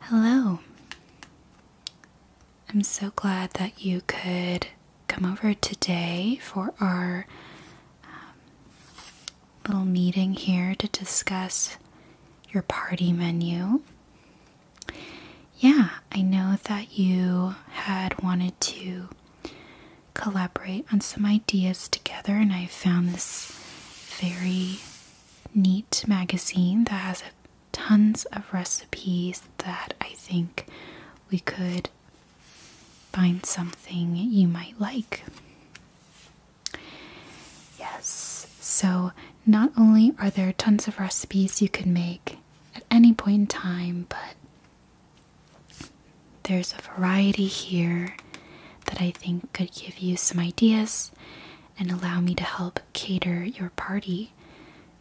Hello. I'm so glad that you could come over today for our um, little meeting here to discuss your party menu yeah, I know that you had wanted to collaborate on some ideas together, and I found this very neat magazine that has tons of recipes that I think we could find something you might like. Yes, so not only are there tons of recipes you can make at any point in time, but there's a variety here that I think could give you some ideas and allow me to help cater your party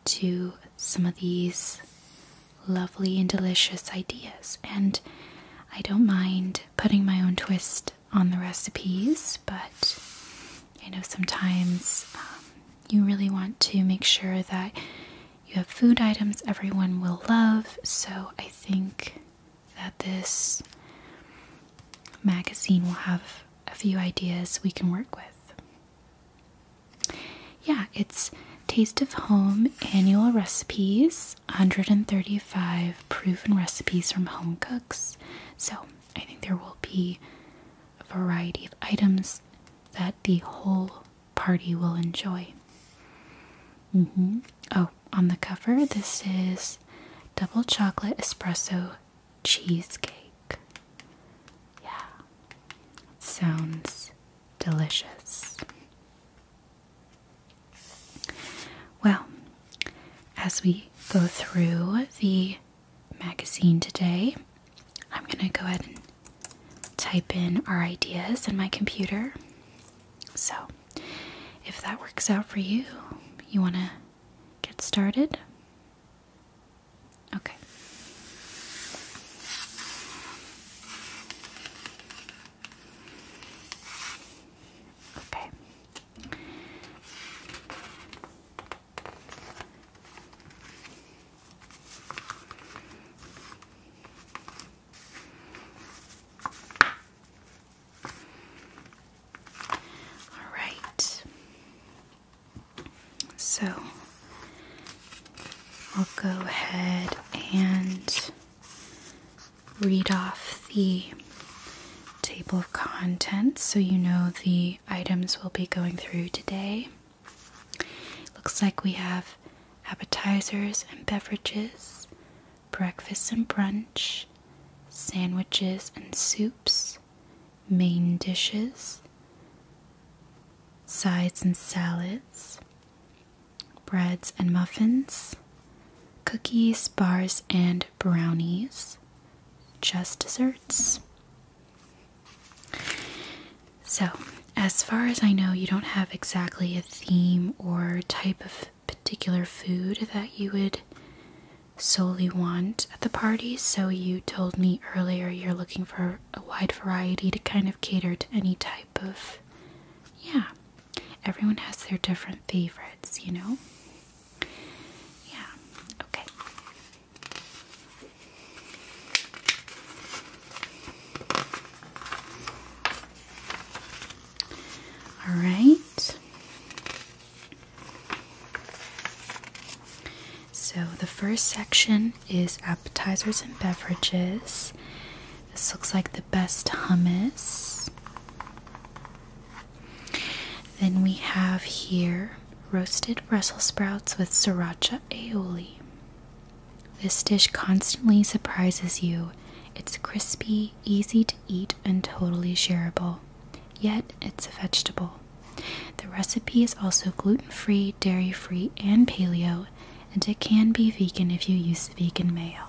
to some of these lovely and delicious ideas. And I don't mind putting my own twist on the recipes, but I know sometimes um, you really want to make sure that you have food items everyone will love. So I think that this magazine will have a few ideas we can work with. Yeah, it's Taste of Home Annual Recipes 135 Proven Recipes from Home Cooks. So I think there will be a variety of items that the whole party will enjoy. Mm-hmm. Oh, on the cover, this is double chocolate espresso cheesecake. Yeah, sounds delicious. Well, as we go through the magazine today. I'm going to go ahead and type in our ideas in my computer. So, if that works out for you, you want to get started? Okay. Okay. All right. So I'll go ahead and read off the table of contents so you know the items we'll be going through today. Looks like we have appetizers and beverages, breakfast and brunch, sandwiches and soups, main dishes, sides and salads, breads and muffins, cookies, bars, and brownies, just desserts. So, as far as I know, you don't have exactly a theme or type of particular food that you would solely want at the party. So, you told me earlier you're looking for a wide variety to kind of cater to any type of. Yeah, everyone has their different favorites, you know? Yeah, okay. All right. So the first section is appetizers and beverages. This looks like the best hummus. Then we have here roasted Brussels sprouts with sriracha aioli. This dish constantly surprises you. It's crispy, easy to eat, and totally shareable. Yet, it's a vegetable. The recipe is also gluten free, dairy free, and paleo, and it can be vegan if you use vegan mayo.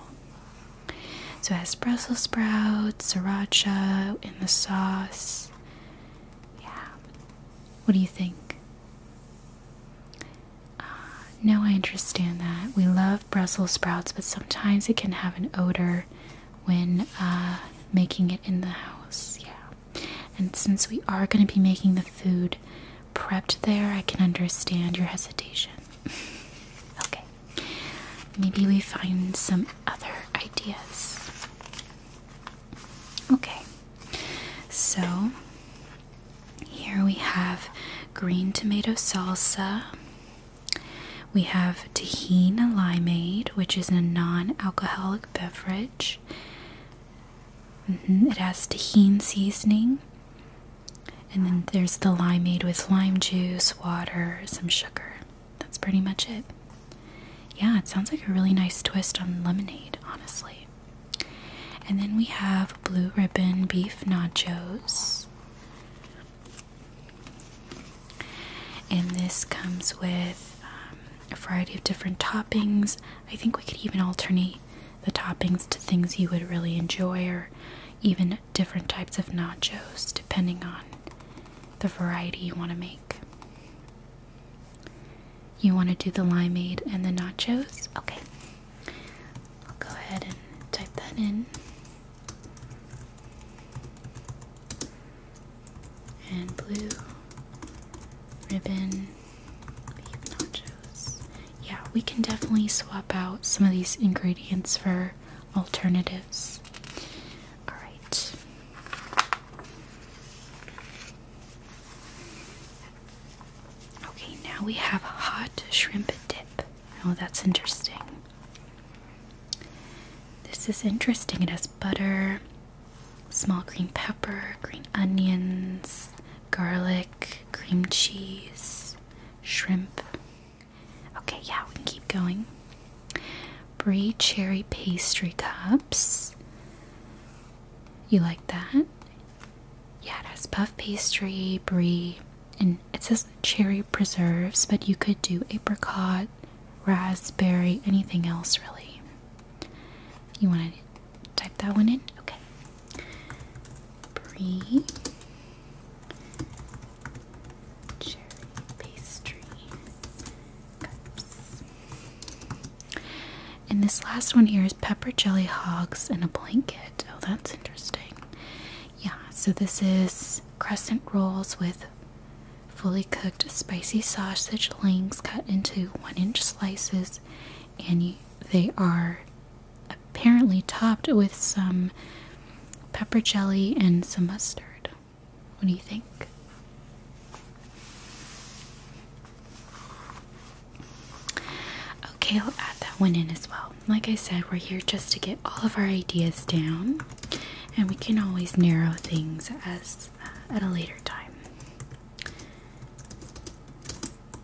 So, has Brussels sprouts, sriracha in the sauce, yeah. What do you think? Uh, no, I understand that. We love Brussels sprouts, but sometimes it can have an odor when uh, making it in the house. Yeah. And since we are going to be making the food prepped there, I can understand your hesitation. okay. Maybe we find some other ideas. Okay, so here we have green tomato salsa. We have tahina limeade, which is a non alcoholic beverage. Mm-hmm, it has tahine seasoning. And then there's the limeade with lime juice, water, some sugar that's pretty much it. Yeah, it sounds like a really nice twist on lemonade, honestly. And then we have blue ribbon beef nachos. And this comes with um, a variety of different toppings. I think we could even alternate the toppings to things you would really enjoy, or even different types of nachos, depending on the variety you want to make. You want to do the limeade and the nachos? Okay. I'll go ahead and type that in. And blue ribbon nachos. Yeah, we can definitely swap out some of these ingredients for alternatives. All right. Okay, now we have hot shrimp dip. Oh, that's interesting. This is interesting. It has butter, small green pepper, green onions, garlic, cream cheese, shrimp. Okay, yeah, we can keep going. Brie cherry pastry cups. You like that? Yeah, it has puff pastry, brie, and it says cherry preserves, but you could do apricot, raspberry, anything else really. You want to type that one in? Okay. Brie cherry pastry And this last one here is pepper jelly hogs in a blanket. Oh, that's interesting. Yeah, so this is crescent rolls with fully cooked spicy sausage links cut into one inch slices, and they are apparently topped with some pepper jelly and some mustard. What do you think? Okay, I'll add that one in as well. Like I said, we're here just to get all of our ideas down, and we can always narrow things as uh, at a later time.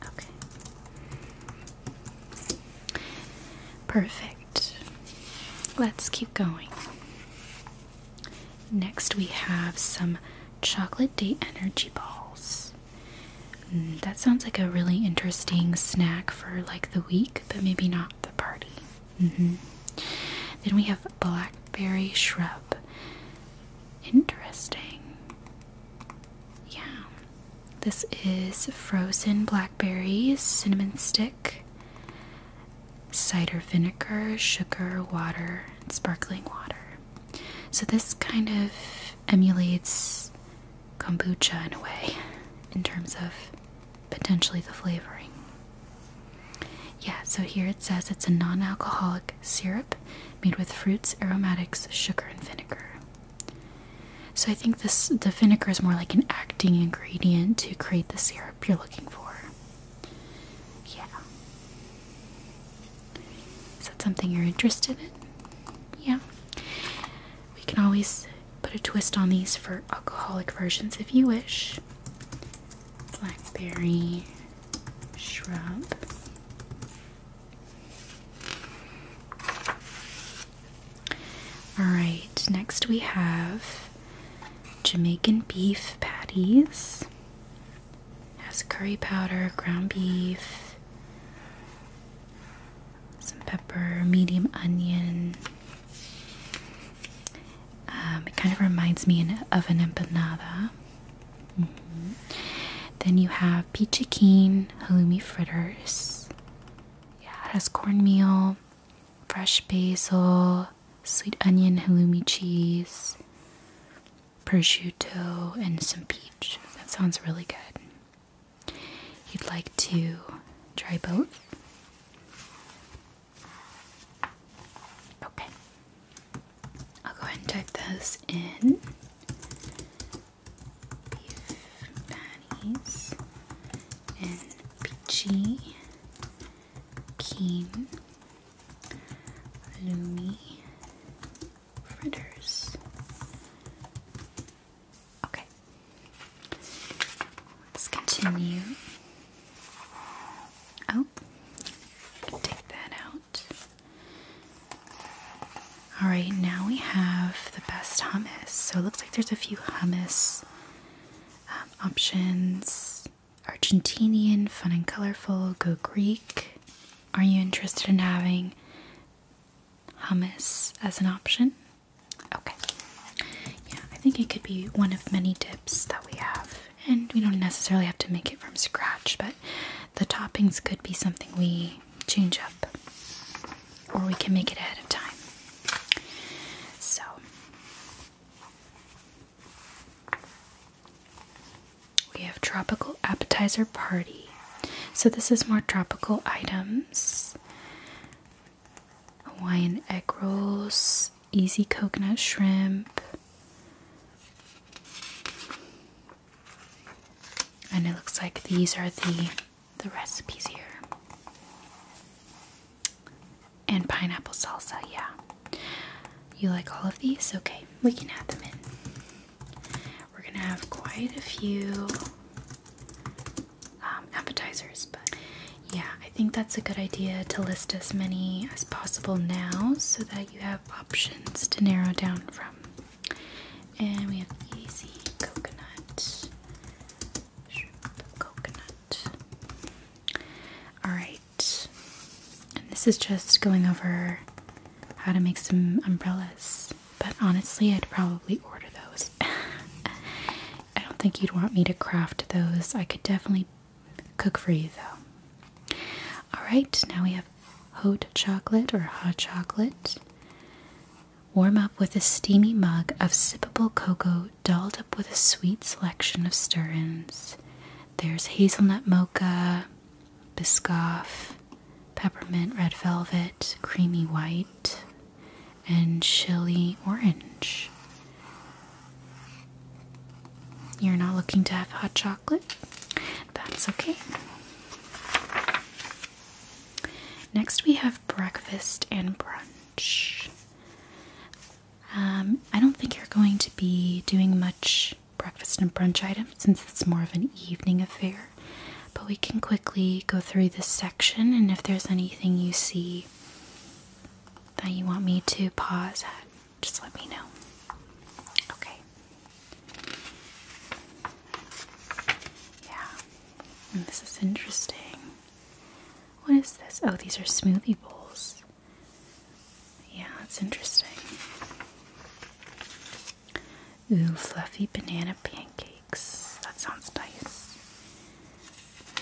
Okay. Perfect. Let's keep going. Next, we have some chocolate date energy balls. Mm, that sounds like a really interesting snack for like the week, but maybe not the party. Mm-hmm. Then we have blackberry shrub. Interesting. Yeah. This is frozen blackberries, cinnamon stick, cider vinegar, sugar, water, sparkling water. So this kind of emulates kombucha in a way, in terms of potentially the flavoring. Yeah, so here it says it's a non alcoholic syrup made with fruits, aromatics, sugar, and vinegar. So I think this the vinegar is more like an acting ingredient to create the syrup you're looking for. Yeah. Is that something you're interested in? Yeah. We can always put a twist on these for alcoholic versions if you wish. Blackberry shrub. Alright, next we have Jamaican beef patties. Has curry powder, ground beef, some pepper, medium onion. Um, it kind of reminds me of an empanada. Mm-hmm. Then you have peachy keen halloumi fritters. Yeah, it has cornmeal, fresh basil, sweet onion halloumi cheese, prosciutto, and some peach. That sounds really good. You'd like to try both? Okay. I'll go ahead and type those in. Beef patties and peachy Keen, Lumi, Fritters. Okay, let's continue. Oh, take that out. All right, now we have the best hummus. So it looks like there's a few hummus um, options. Argentinian, fun and colorful, go Greek. Are you interested in having hummus as an option? Okay. Yeah, I think it could be one of many dips that we have. And we don't necessarily have to make it from scratch, but the toppings could be something we change up. Or we can make it ahead of time. So we have tropical appetizer party. So this is more tropical items. Hawaiian egg rolls, easy coconut shrimp. And it looks like these are the the recipes here and pineapple salsa. Yeah. You like all of these? Okay, we can add them in. We're gonna have quite a few um, appetizers, but yeah, I think that's a good idea to list as many as possible now so that you have options to narrow down from. And we have easy coconut, coconut. All right, and this is just going over how to make some umbrellas. But honestly, I'd probably order those. I don't think you'd want me to craft those. I could definitely cook for you though. Alright, now we have hot chocolate or hot chocolate. Warm up with a steamy mug of sippable cocoa, dull with a sweet selection of stir ins. There's hazelnut mocha, biscoff, peppermint red velvet, creamy white, and chili orange. You're not looking to have hot chocolate? That's okay. Next, we have breakfast and brunch. Um, I don't think you're going to be doing much breakfast and brunch items since it's more of an evening affair, but we can quickly go through this section and if there's anything you see that you want me to pause at, just let me know. Okay. Yeah. this is interesting. What is this? Oh, these are smoothie bowls. Yeah, that's interesting. Ooh, fluffy banana pancakes. That sounds nice.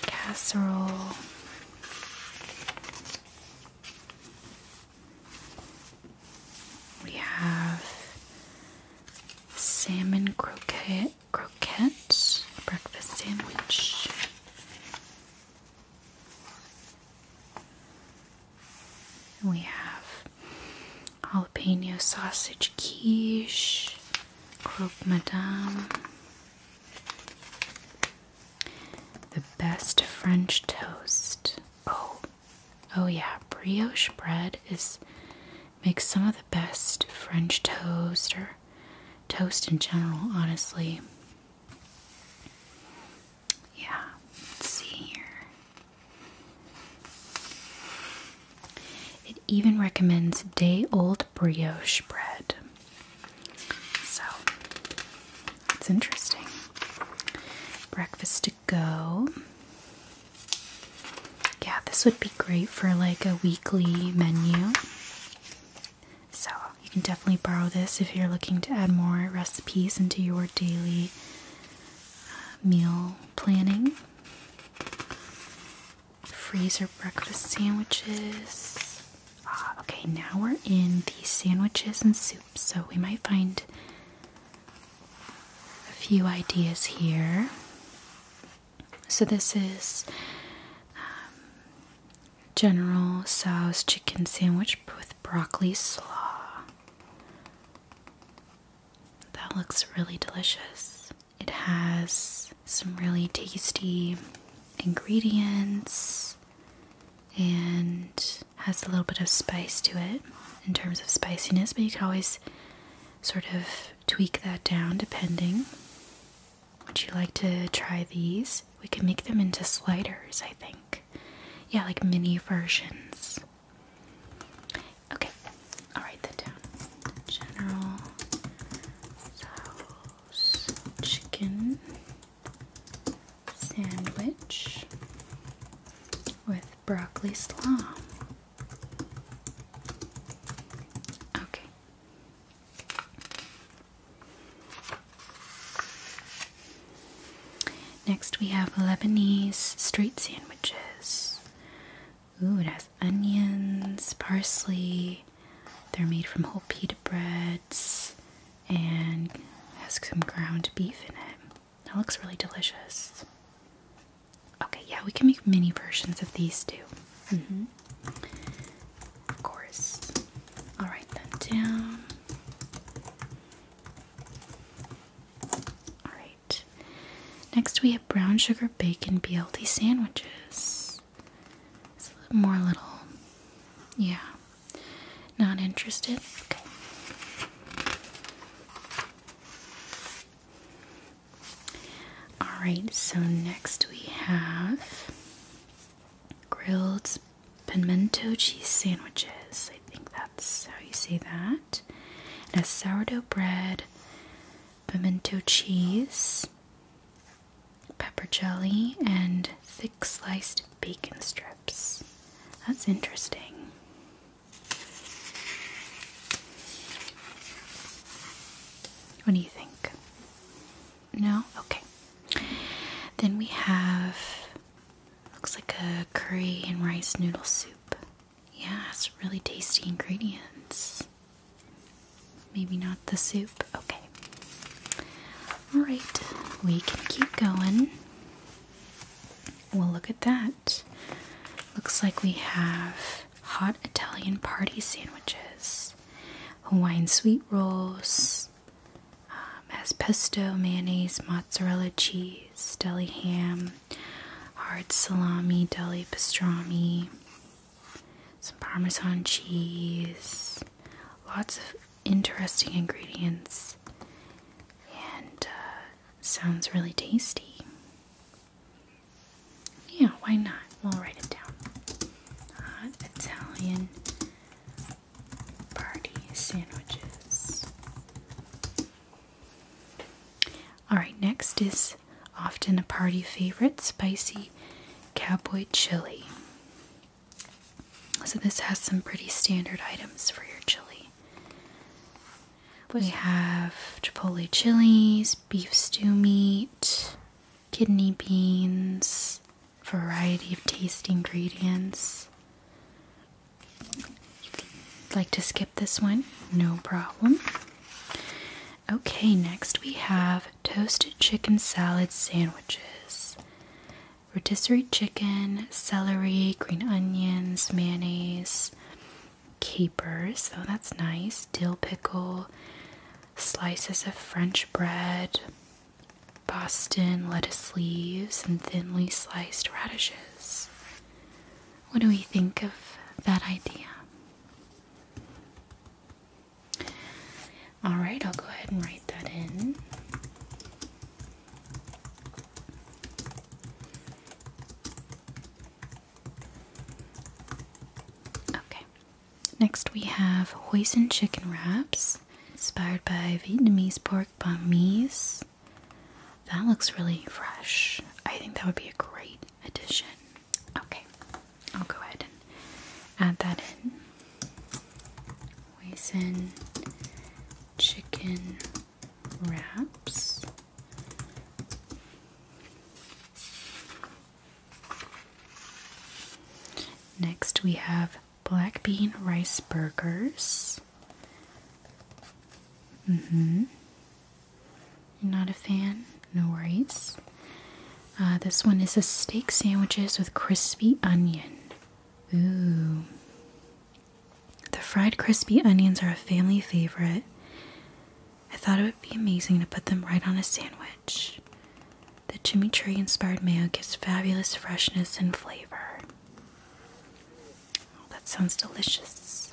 Casserole. We have salmon croquette, croquette breakfast sandwich. We have jalapeno sausage quiche, croque madame, the best French toast. Oh, oh yeah, brioche bread is makes some of the best French toast or toast in general, honestly. Yeah, let's see here. It even recommends day old brioche bread. So it's interesting. Breakfast to go. Yeah, this would be great for like a weekly menu. So you can definitely borrow this if you're looking to add more recipes into your daily uh, meal planning. Freezer breakfast sandwiches. Ah, okay, now we're in the sandwiches and soups, so we might find a few ideas here. So, this is um, General Tso's chicken sandwich with broccoli slaw. That looks really delicious. It has some really tasty ingredients and has a little bit of spice to it in terms of spiciness, but you can always sort of tweak that down depending. Would you like to try these? We could make them into sliders, I think. Yeah, like mini versions. Okay, I'll write that down. General sauce chicken sandwich with broccoli slaw. Okay. Next, we have Lebanese street sandwiches. Ooh, it has onions, parsley. They're made from whole pita breads and has some ground beef in it. That looks really delicious. Okay, yeah, we can make mini versions of these too. Mm-hmm. Of course. I'll write them down. Alright. Next we have brown sugar bacon BLT sandwiches. more little yeah. Not interested? Okay. Alright, so next we have grilled pimento cheese sandwiches. I think that's how you say that. It has sourdough bread, pimento cheese, pepper jelly, and thick sliced bacon strips. That's interesting. What do you think? No? Okay. Then we have looks like a curry and rice noodle soup. Yeah, it's really tasty ingredients. Maybe not the soup. Okay. Alright, we can keep going. Well, look at that. Looks like we have hot Italian party sandwiches, Hawaiian sweet rolls, um, pesto, mayonnaise, mozzarella cheese, deli ham, hard salami, deli pastrami, some parmesan cheese, lots of interesting ingredients, and uh, sounds really tasty. Yeah, why not? We'll write it down. Hot uh, Italian party sandwiches. Alright, next is often a party favorite spicy cowboy chili. So, this has some pretty standard items for your chili. We have chipotle chilies, beef stew meat, kidney beans, variety of taste ingredients. Like to skip this one? No problem. Okay, next we have toasted chicken salad sandwiches. Rotisserie chicken, celery, green onions, mayonnaise, capers, so that's nice, dill pickle, slices of French bread, Boston lettuce leaves, and thinly sliced radishes. What do we think of that idea? All right, I'll go ahead and write that in. Okay. Next, we have hoisin chicken wraps, inspired by Vietnamese pork banh mi's. That looks really fresh. I think that would be a great addition. Okay, I'll go ahead and add that in. Hoisin chicken wraps. Next, we have black bean rice burgers. Mm hmm. You're not a fan? No worries. Uh, this one is a steak sandwiches with crispy onion. Ooh. The fried crispy onions are a family favorite. I thought it would be amazing to put them right on a sandwich. The Jimmy Tree inspired mayo gives fabulous freshness and flavor. Oh, that sounds delicious.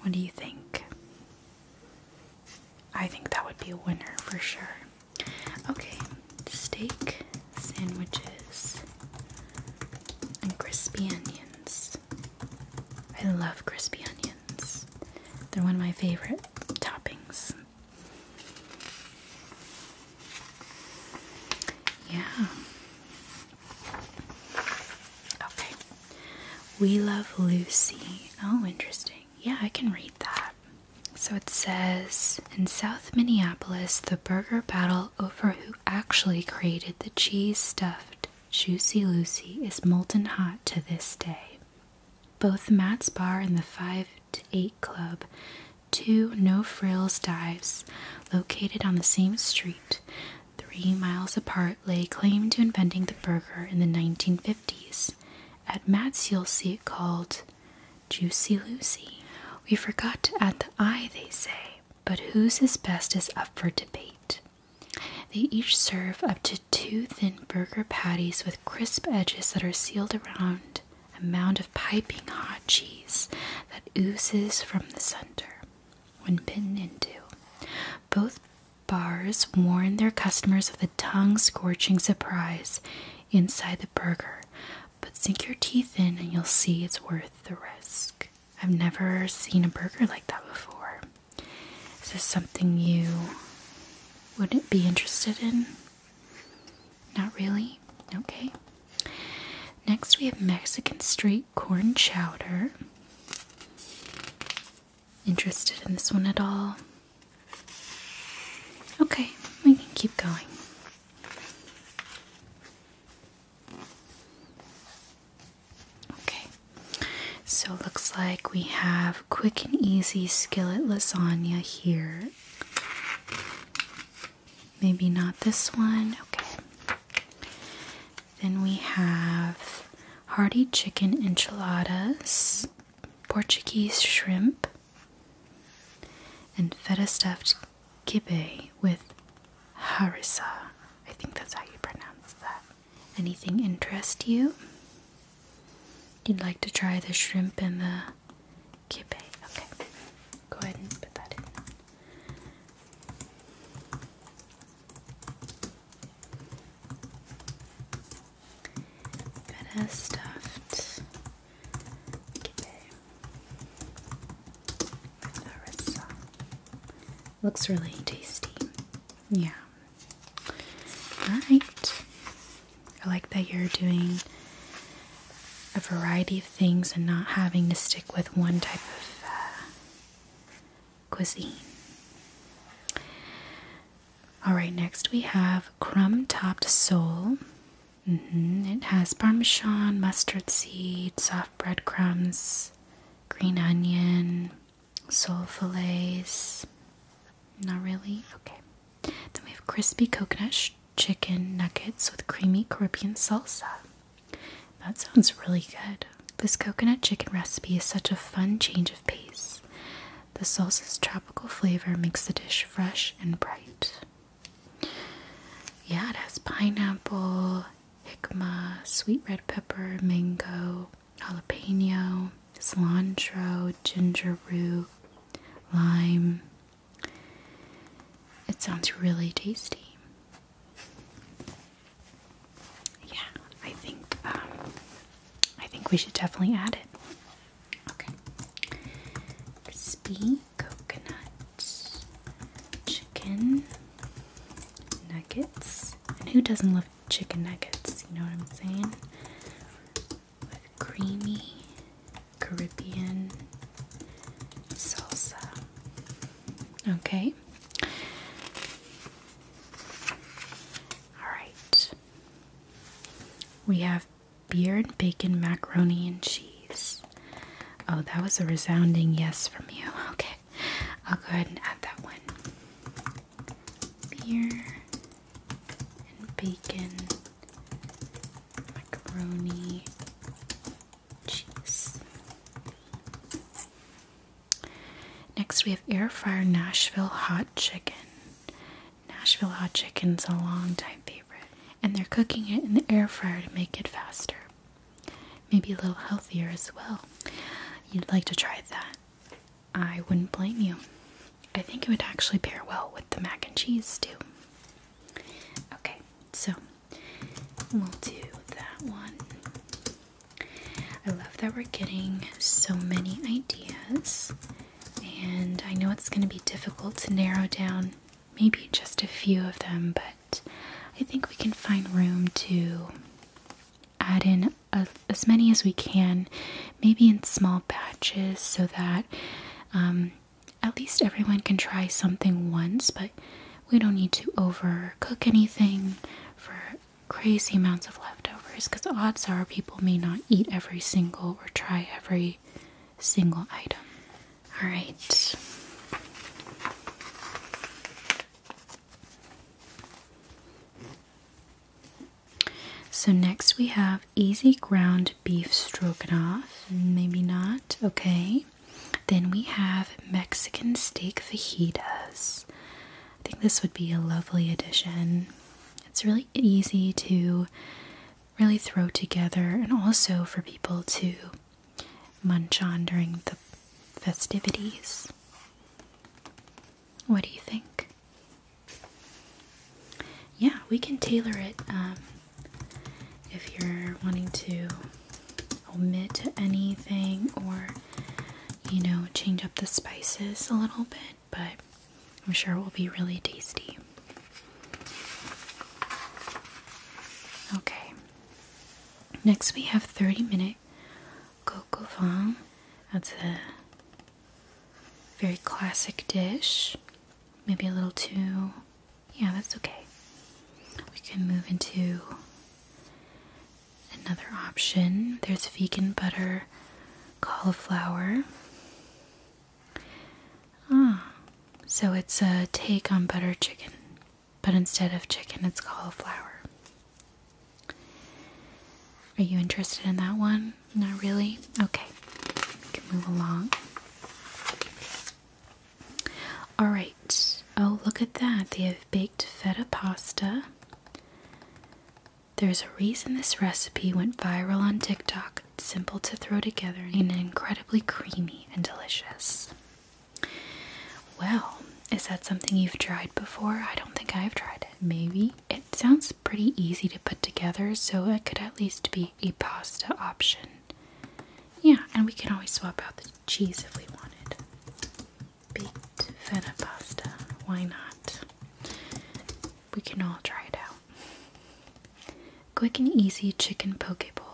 What do you think? I think that would be a winner for sure. Okay, steak, sandwiches, and crispy onions. I love crispy onions, they're one of my favorite toppings. Yeah. Okay. We love Lucy. Oh, interesting. Yeah, I can read that. So it says in South Minneapolis, the burger battle over who actually created the cheese stuffed Juicy Lucy is molten hot to this day. Both Matt's Bar and the Five 8 Club, two no frills dives located on the same street, three miles apart, lay claim to inventing the burger in the 1950s. At Matt's, you'll see it called Juicy Lucy. We forgot to add the I, they say, but whose is best is up for debate. They each serve up to two thin burger patties with crisp edges that are sealed around a mound of piping hot cheese that oozes from the center when bitten into. Both bars warn their customers of the tongue scorching surprise inside the burger, but sink your teeth in and you'll see it's worth the risk. I've never seen a burger like that before. Is this something you wouldn't be interested in? Not really? Okay. Next, we have Mexican Street Corn Chowder. Interested in this one at all? Okay, we can keep going. Okay, so it looks like we have quick and easy skillet lasagna here. Maybe not this one. Okay. Then we have hearty chicken enchiladas, Portuguese shrimp, and feta stuffed kibbeh with harissa. I think that's how you pronounce that. Anything interest you? You'd like to try the shrimp and the kibbeh. Okay, go ahead and put that in. Got a stuffed kibbeh from Larissa. Looks really tasty. Yeah. Right. I like that you're doing a variety of things and not having to stick with one type of uh, cuisine. All right, next we have crumb topped sole. Mm-hmm. It has parmesan, mustard seed, soft breadcrumbs, green onion, sole fillets. Not really? Okay. Then we have crispy coconut chicken nuggets with creamy Caribbean salsa. That sounds really good. This coconut chicken recipe is such a fun change of pace. The salsa's tropical flavor makes the dish fresh and bright. Yeah, it has pineapple, jicama, sweet red pepper, mango, jalapeno, cilantro, ginger root, lime. It sounds really tasty. Yeah, I think um, I think we should definitely add it. Okay, crispy coconut chicken nuggets. And who doesn't love chicken nuggets? You know what I'm saying? with creamy Caribbean salsa. Okay. All right. We have beer and bacon, macaroni and cheese. Oh, that was a resounding yes from you. Okay. I'll go ahead and add that one. Beer and bacon macaroni cheese. Next, we have air fryer Nashville hot chicken. Nashville hot chicken's a long time favorite, and they're cooking it in the air fryer to make it faster, maybe a little healthier as well. You'd like to try that. I wouldn't blame you. I think it would actually pair well with the mac and cheese too. Okay, so we'll do that one. I love that we're getting so many ideas, and I know it's going to be difficult to narrow down maybe just a few of them, but I think we can find room to add in as many as we can maybe in small batches so that um, at least everyone can try something once, but we don't need to overcook anything for crazy amounts of leftovers because odds are people may not eat every single or try every single item. All right. So next we have easy ground beef stroganoff. Maybe not. Okay. Then we have Mexican steak fajitas. I think this would be a lovely addition. It's really easy to really throw together and also for people to munch on during the festivities. What do you think? yeah, we can tailor it um, if you're wanting to omit anything or, you know, change up the spices a little bit, but I'm sure it will be really tasty. Okay, next we have 30 minute coq au That's a very classic dish. Maybe a little too. Yeah, that's okay. We can move into another option. There's vegan butter cauliflower. Ah, so it's a take on butter chicken, but instead of chicken, it's cauliflower. Are you interested in that one? Not really? Okay. We can move along. Alright. Oh, look at that. They have baked feta pasta. There's a reason this recipe went viral on TikTok. simple to throw together and incredibly creamy and delicious. Well, is that something you've tried before? I don't think I've tried it. Maybe it sounds pretty easy to put together, so it could at least be a pasta option. Yeah, and we can always swap out the cheese if we wanted. Baked feta pasta, why not? We can all try it out. Quick and easy chicken poke bowl.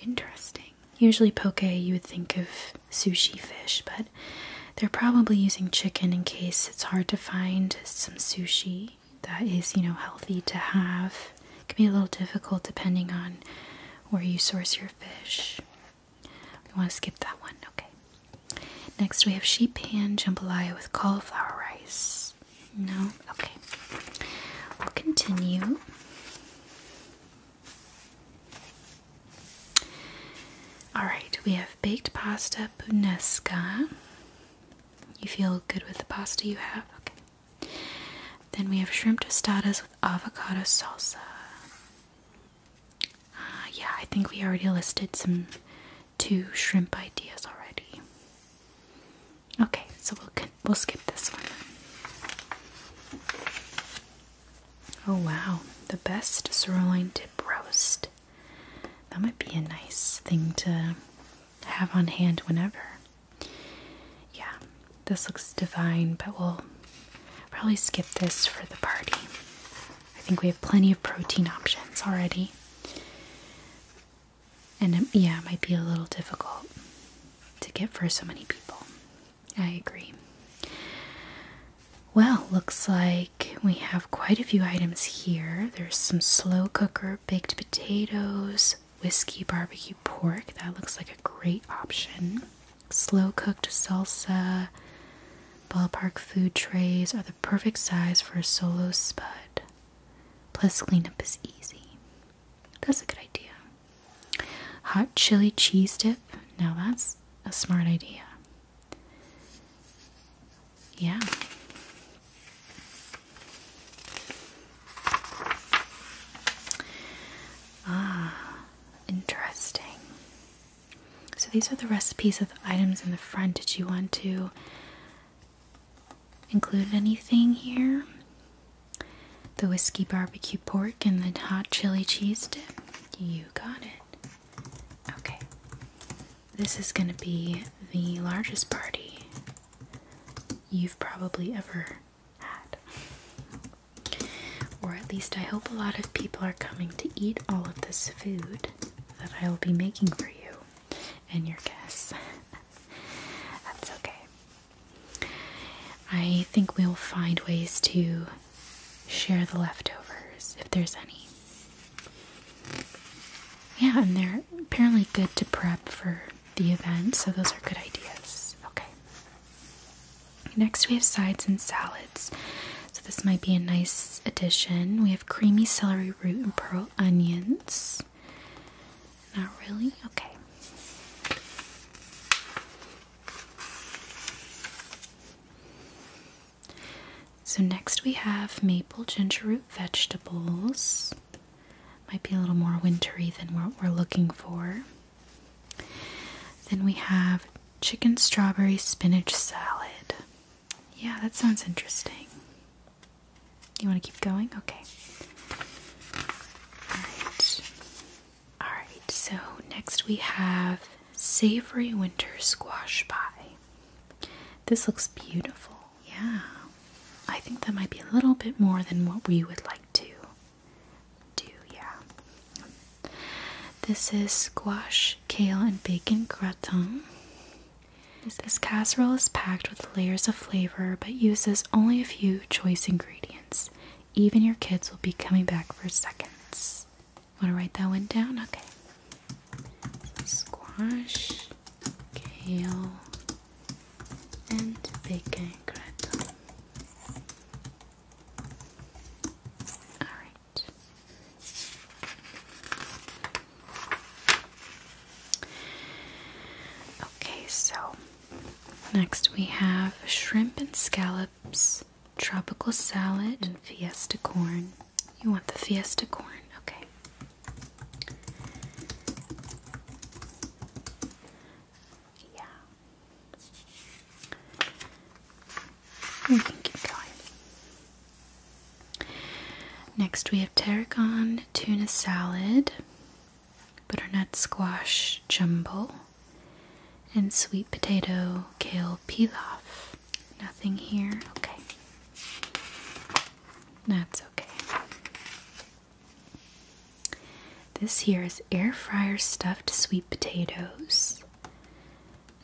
Interesting. Usually, poke you would think of sushi fish, but they're probably using chicken in case it's hard to find some sushi that is, you know, healthy to have. It can be a little difficult depending on where you source your fish. We want to skip that one, okay. Next we have sheep pan jambalaya with cauliflower rice. No? Okay. We'll continue. Alright, we have baked pasta punesca you feel good with the pasta you have? Okay. Then we have shrimp tostadas with avocado salsa. Uh, yeah, I think we already listed some two shrimp ideas already. Okay, so we'll we'll skip this one. Oh wow, the best sirloin dip roast. That might be a nice thing to have on hand whenever. Yeah, this looks divine, but we'll probably skip this for the party. I think we have plenty of protein options already. And um, yeah, it might be a little difficult to get for so many people. I agree. Well, looks like we have quite a few items here. There's some slow cooker baked potatoes, whiskey barbecue pork. That looks like a great option. Slow cooked salsa, ballpark food trays are the perfect size for a solo spud. Plus, cleanup is easy. That's a good idea. Hot chili cheese dip. Now, that's a smart idea. Yeah. Ah, interesting. So these are the recipes of items in the front. Did you want to include anything here? The whiskey barbecue pork and the hot chili cheese dip. You got it. Okay this is going to be the largest party you've probably ever had. Or at least I hope a lot of people are coming to eat all of this food that I will be making for you and your guests. That's okay. I think we'll find ways to share the leftovers if there's any. Yeah, and they're apparently good to prep for the event, so those are good ideas. Okay. Next, we have sides and salads. So, this might be a nice addition. We have creamy celery root and pearl onions. Not really? Okay. So next we have maple ginger root vegetables. Might be a little more wintry than what we're looking for. Then we have chicken strawberry spinach salad. Yeah, that sounds interesting. You want to keep going? Okay. Alright. Alright, so next we have savory winter squash pie. This looks beautiful. Yeah. I think that might be a little bit more than what we would like to do. Yeah. This is squash, kale, and bacon gratin. This casserole is packed with layers of flavor but uses only a few choice ingredients. Even your kids will be coming back for seconds. Want to write that one down? Okay squash, kale, and bacon gratin. Alright. Okay, so next we have shrimp and scallops, tropical salad, and fiesta corn. You want the Fiesta corn, okay. Yeah. We can keep going. Next we have tarragon tuna salad, butternut squash jumble, and sweet potato kale pilaf. Nothing here. Okay. That's okay. This here is air fryer stuffed sweet potatoes.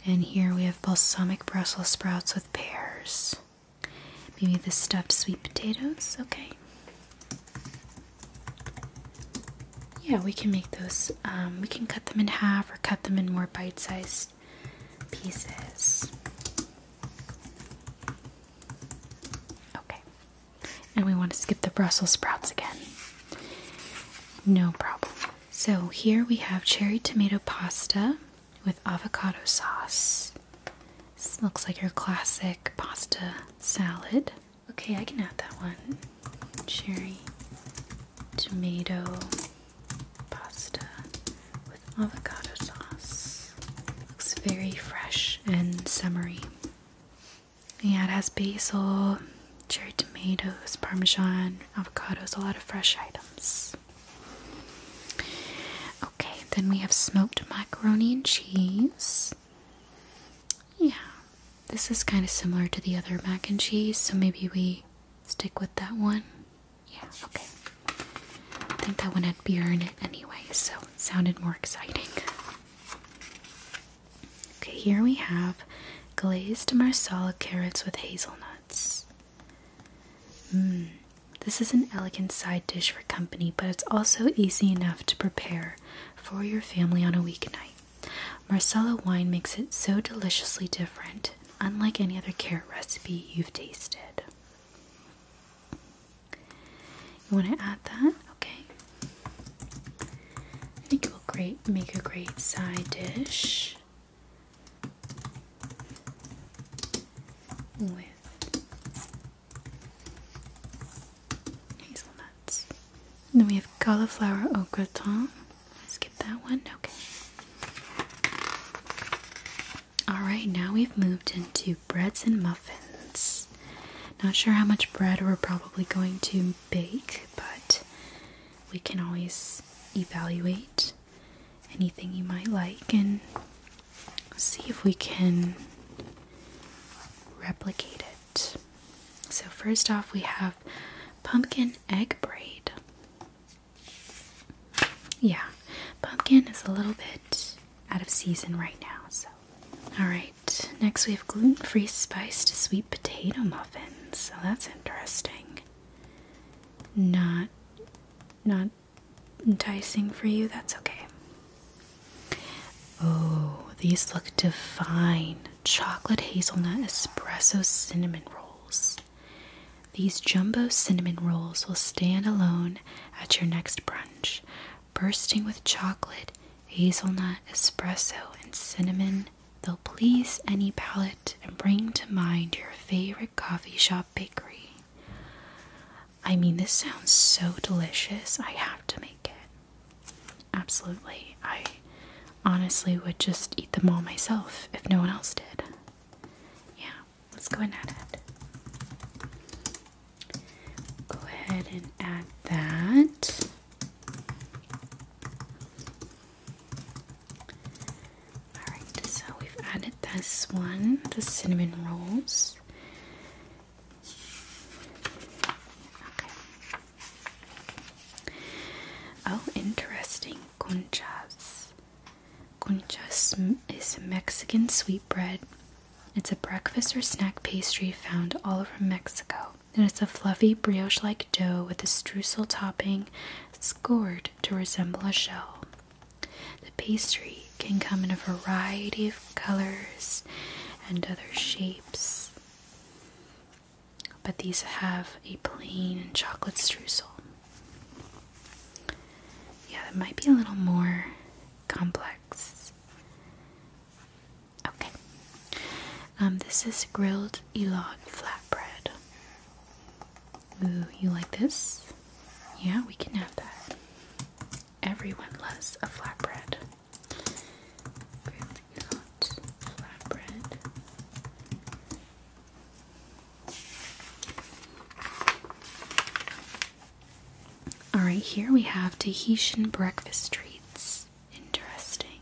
And here we have balsamic Brussels sprouts with pears. Maybe the stuffed sweet potatoes? Okay. Yeah, we can make those. Um, we can cut them in half or cut them in more bite sized pieces. Okay. And we want to skip the Brussels sprouts again. No problem. So here we have cherry tomato pasta with avocado sauce. This looks like your classic pasta salad. Okay, I can add that one. Cherry tomato pasta with avocado sauce. Looks very fresh and summery. Yeah, it has basil, cherry tomatoes, parmesan, avocados, a lot of fresh items. Okay, then we have smoked macaroni and cheese. Yeah, this is kind of similar to the other mac and cheese, so maybe we stick with that one. Yeah, okay. I think that one had beer in it anyway, so it sounded more exciting. Okay, here we have glazed marsala carrots with hazelnuts. Mmm. This is an elegant side dish for company, but it's also easy enough to prepare for your family on a weeknight. Marsala wine makes it so deliciously different unlike any other carrot recipe you've tasted. You want to add that? Okay. I think it will great make a great side dish with hazelnuts. And then we have cauliflower au gratin. Skip that one. Okay. Alright, now we've moved into breads and muffins. Not sure how much bread we're probably going to bake, but we can always evaluate anything you might like and see if we can replicate it. So, first off, we have pumpkin egg braid. Yeah, pumpkin is a little bit out of season right now, so. Alright, next we have gluten free spiced sweet potato muffins. So that's interesting. Not not enticing for you, that's okay. Oh, these look divine. Chocolate hazelnut espresso cinnamon rolls. These jumbo cinnamon rolls will stand alone at your next brunch, bursting with chocolate, hazelnut, espresso, and cinnamon. They'll please any palate and bring to mind your favorite coffee shop bakery. I mean, this sounds so delicious. I have to make it. Absolutely. I honestly would just eat them all myself if no one else did. Yeah let's go and add it. Go ahead and add that. Alright, so we've added this one, the cinnamon rolls. Okay. Oh, interesting. Conchas. Conchas is a Mexican sweetbread. It's a breakfast or snack pastry found all over Mexico. And it's a fluffy brioche like dough with a streusel topping scored to resemble a shell. The pastry can come in a variety of colors and other shapes, but these have a plain chocolate streusel. Yeah, it might be a little more complex. Okay. Um, this is grilled elog flatbread. Ooh, you like this? Yeah, we can have that. Everyone loves a flatbread. Grilled elog flatbread. All right, here we have Tahitian breakfast treats. Interesting.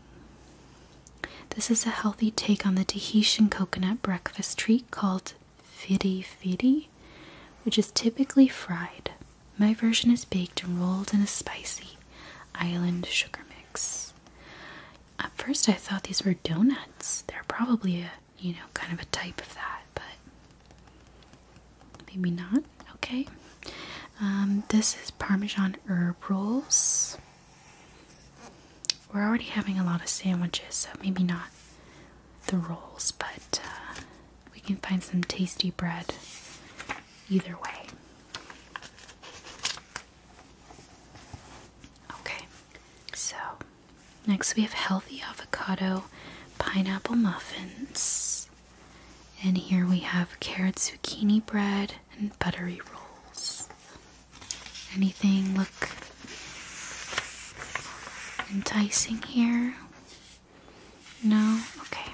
This is a healthy take on the Tahitian coconut breakfast treat called fidi fidi, which is typically fried. My version is baked and rolled in a spicy island sugar mix. At first, I thought these were donuts. They're probably a you know, kind of a type of that, but maybe not. Okay. Um, this is Parmesan herb rolls. We're already having a lot of sandwiches, so maybe not the rolls, but uh, we can find some tasty bread either way. Okay, so Next, we have healthy avocado pineapple muffins. And here we have carrot zucchini bread and buttery rolls. Anything look enticing here? No? Okay.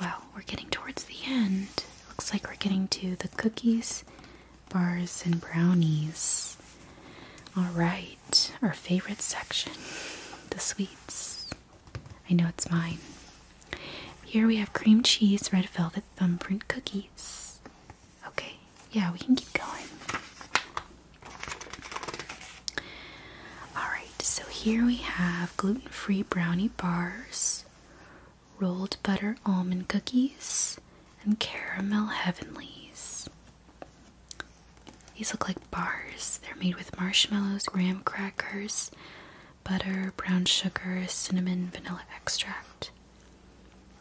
Well, we're getting towards the end. Looks like we're getting to the cookies bars and brownies. All right, our favorite section the sweets. I know it's mine. Here we have cream cheese, red velvet thumbprint cookies. Okay, yeah, we can keep going. Alright, so here we have gluten free brownie bars, rolled butter almond cookies, and caramel heavenlies. These look like bars. They're made with marshmallows, graham crackers, butter, brown sugar, cinnamon, vanilla extract,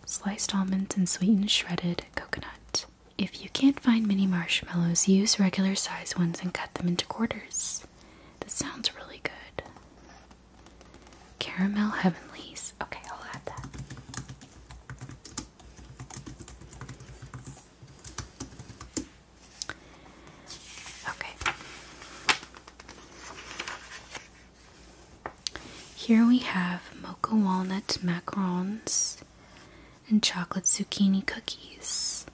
sliced almonds, and sweetened shredded coconut. If you can't find mini marshmallows, use regular size ones and cut them into quarters. This sounds really good. Caramel Heavenlies okay, I'll add that. Okay. Here we have mocha walnut macarons and chocolate zucchini cookies.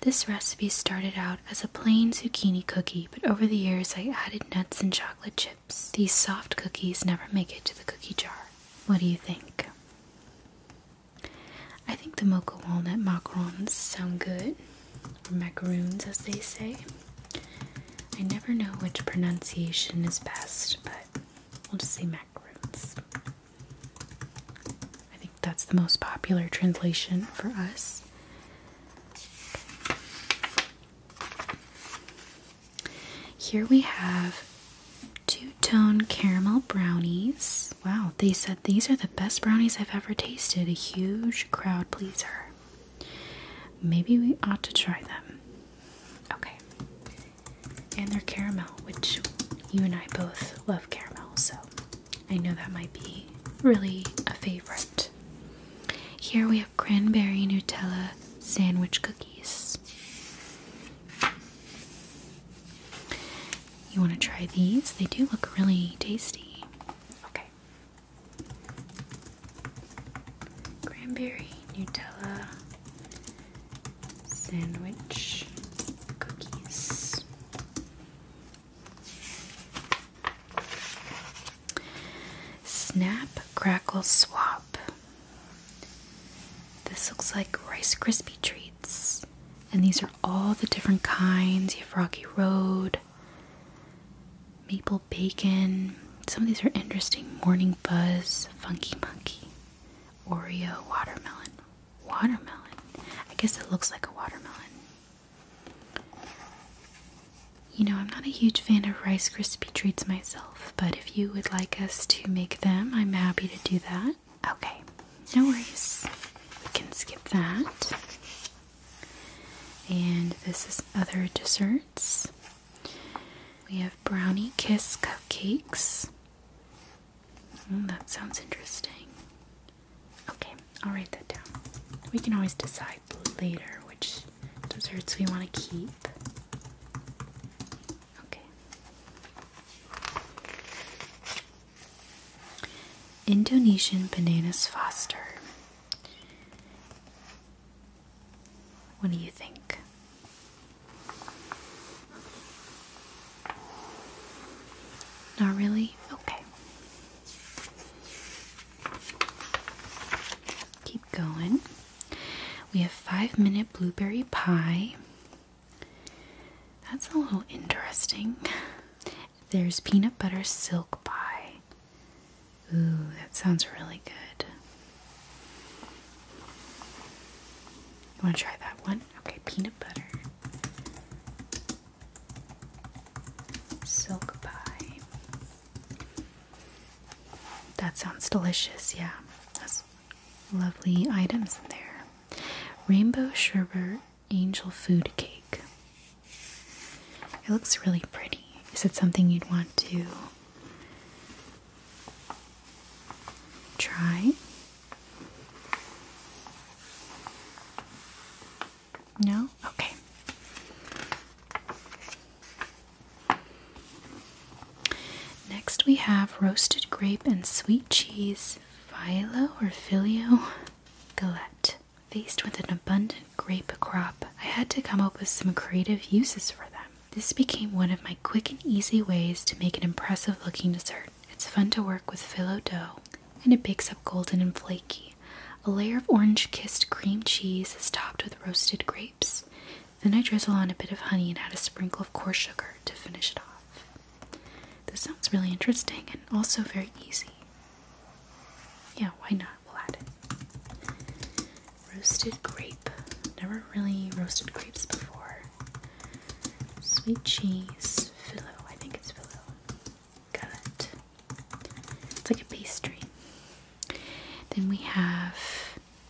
This recipe started out as a plain zucchini cookie, but over the years I added nuts and chocolate chips. These soft cookies never make it to the cookie jar. What do you think? I think the mocha walnut macarons sound good, or macaroons as they say. I never know which pronunciation is best, but we'll just say macaroons. I think that's the most popular translation for us. Here we have two-tone caramel brownies. Wow, they said these are the best brownies I've ever tasted. A huge crowd pleaser. Maybe we ought to try them. Okay. And they're caramel, which you and I both love caramel, so I know that might be really a favorite. Here we have cranberry Nutella sandwich cookies. You want to try these? They do look really tasty. Okay. Cranberry Nutella sandwich cookies. Snap, crackle, swap. This looks like Rice Krispie treats. And these are all the different kinds. You have Rocky Road, Maple Bacon. Some of these are interesting. Morning Buzz, Funky Monkey, Oreo, Watermelon. Watermelon? I guess it looks like a watermelon. You know, I'm not a huge fan of Rice Krispie treats myself, but if you would like us to make them, I'm happy to do that. Okay, no worries. We can skip that. And this is other desserts. We have brownie kiss cupcakes. Hmm, that sounds interesting. Okay, I'll write that down. We can always decide later which desserts we want to keep. Indonesian bananas foster. What do you think? Not really? Okay going. We have five minute blueberry pie. That's a little interesting. There's peanut butter silk pie. Ooh, that sounds really good. You want to try that one? Okay, peanut butter. Silk pie. That sounds delicious, yeah. That's lovely items in there. Rainbow sherbet angel food cake. It looks really pretty. Is it something you'd want to try? No? Okay. Next, we have roasted grape and sweet cheese phyllo or filio galette. Faced with an abundant grape crop, I had to come up with some creative uses for them. This became one of my quick and easy ways to make an impressive looking dessert. It's fun to work with phyllo dough, and it bakes up golden and flaky. A layer of orange kissed cream cheese is topped with roasted grapes. Then I drizzle on a bit of honey and add a sprinkle of coarse sugar to finish it off. This sounds really interesting and also very easy. Yeah, why not? We'll add it. Roasted grape. Never really roasted grapes before. Sweet cheese. Phyllo. I think it's phyllo. Got it. It's like a pastry. Then we have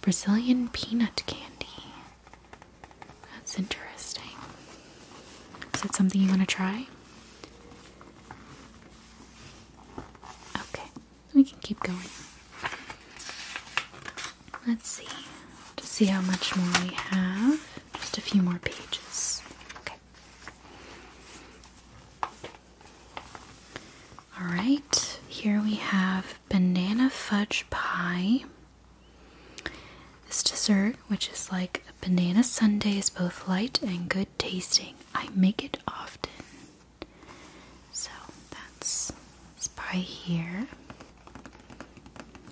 Brazilian peanut candy. That's interesting. Is that something you want to try? Okay, we can keep going. Let's see. To see how much more we have. Just a few more pages. Okay. All right, here we have banana fudge pie. This dessert, which is like a banana sundae, is both light and good tasting. I make it often. So that's this pie here.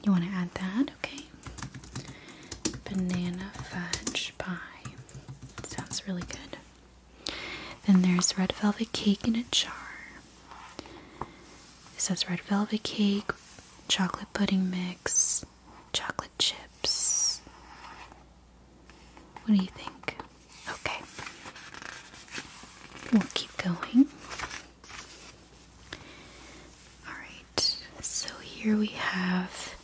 You want to add that? Okay. Banana fudge pie. Sounds really good. Then there's red velvet cake in a jar. It says red velvet cake, chocolate pudding mix, chocolate chips. What do you think? Okay. We'll keep going. Alright, so here we have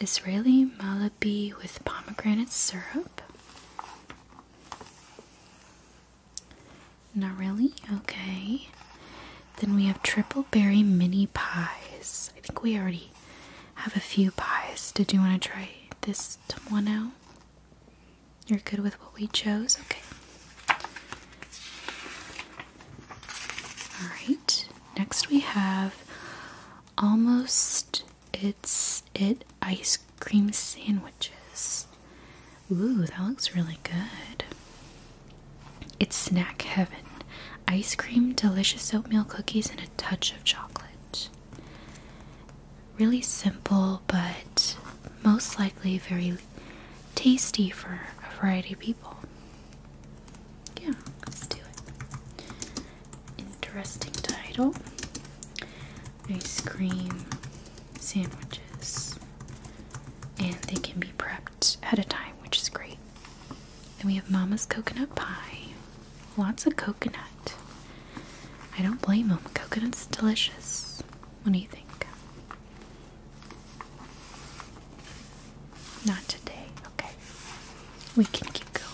Israeli Malabi with pomegranate syrup. Not really? Okay. Then we have triple berry mini pies. I think we already have a few pies. Did you want to try this one out? You're good with what we chose? Okay. Alright, next we have almost it's it ice cream sandwiches. Ooh, that looks really good. It's snack heaven. Ice cream, delicious oatmeal cookies, and a touch of chocolate. Really simple, but most likely very tasty for a variety of people. Yeah, let's do it. Interesting title ice cream, sandwiches, and they can be prepped ahead of time, which is great. Then we have Mama's coconut pie. Lots of coconut. I don't blame them. Coconut's delicious. What do you think? Not today. Okay. We can keep going.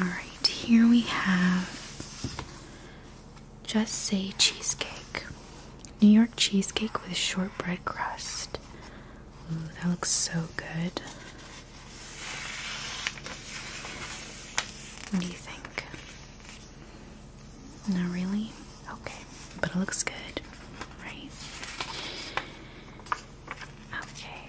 Alright, here we have Just Say Cheesecake. New York cheesecake with shortbread crust. Ooh, that looks so good. What do you think? Not really? Okay, but it looks good, right? Okay.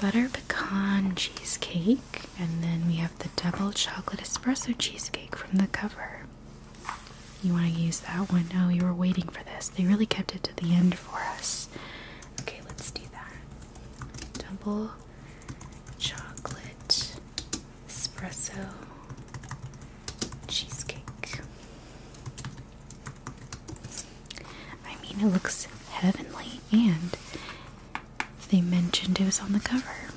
Butter pecan cheesecake, and then we have the double chocolate espresso cheesecake from the cover. You want to use that one? Oh, you were waiting for this. They really kept it to the end for us. Okay, let's do that. Double chocolate espresso cheesecake. I mean, it looks heavenly, and they mentioned it was on the cover.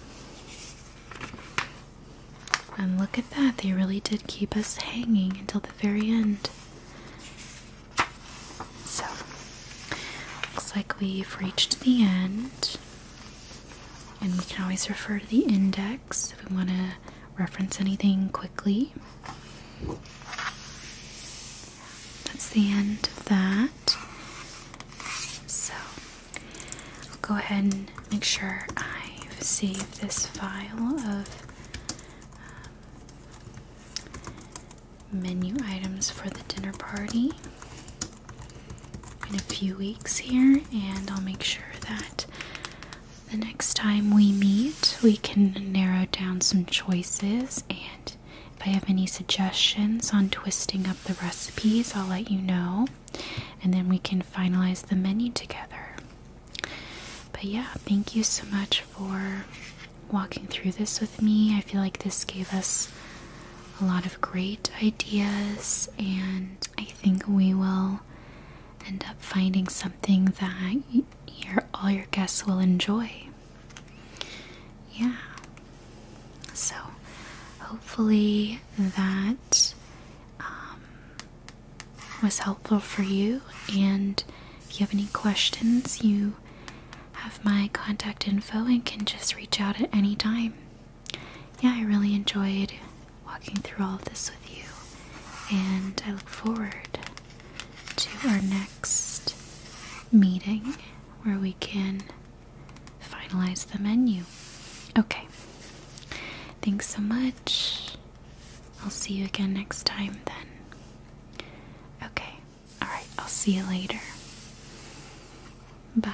And look at that, they really did keep us hanging until the very end. So, looks like we've reached the end. And we can always refer to the index if we want to reference anything quickly. That's the end of that. So I'll go ahead and make sure I've saved this file of um, menu items for the dinner party in a few weeks here, and I'll make sure that the next time we meet, we can narrow down some choices. And if I have any suggestions on twisting up the recipes, I'll let you know. And then we can finalize the menu together. But yeah, thank you so much for walking through this with me. I feel like this gave us a lot of great ideas, and I think we will end up finding something that your all your guests will enjoy. Yeah. So hopefully that um, was helpful for you and if you have any questions you have my contact info and can just reach out at any time. Yeah, I really enjoyed walking through all of this with you and I look forward to our next meeting where we can finalize the menu. Okay. Thanks so much. I'll see you again next time then. Okay. Alright, I'll see you later. Bye.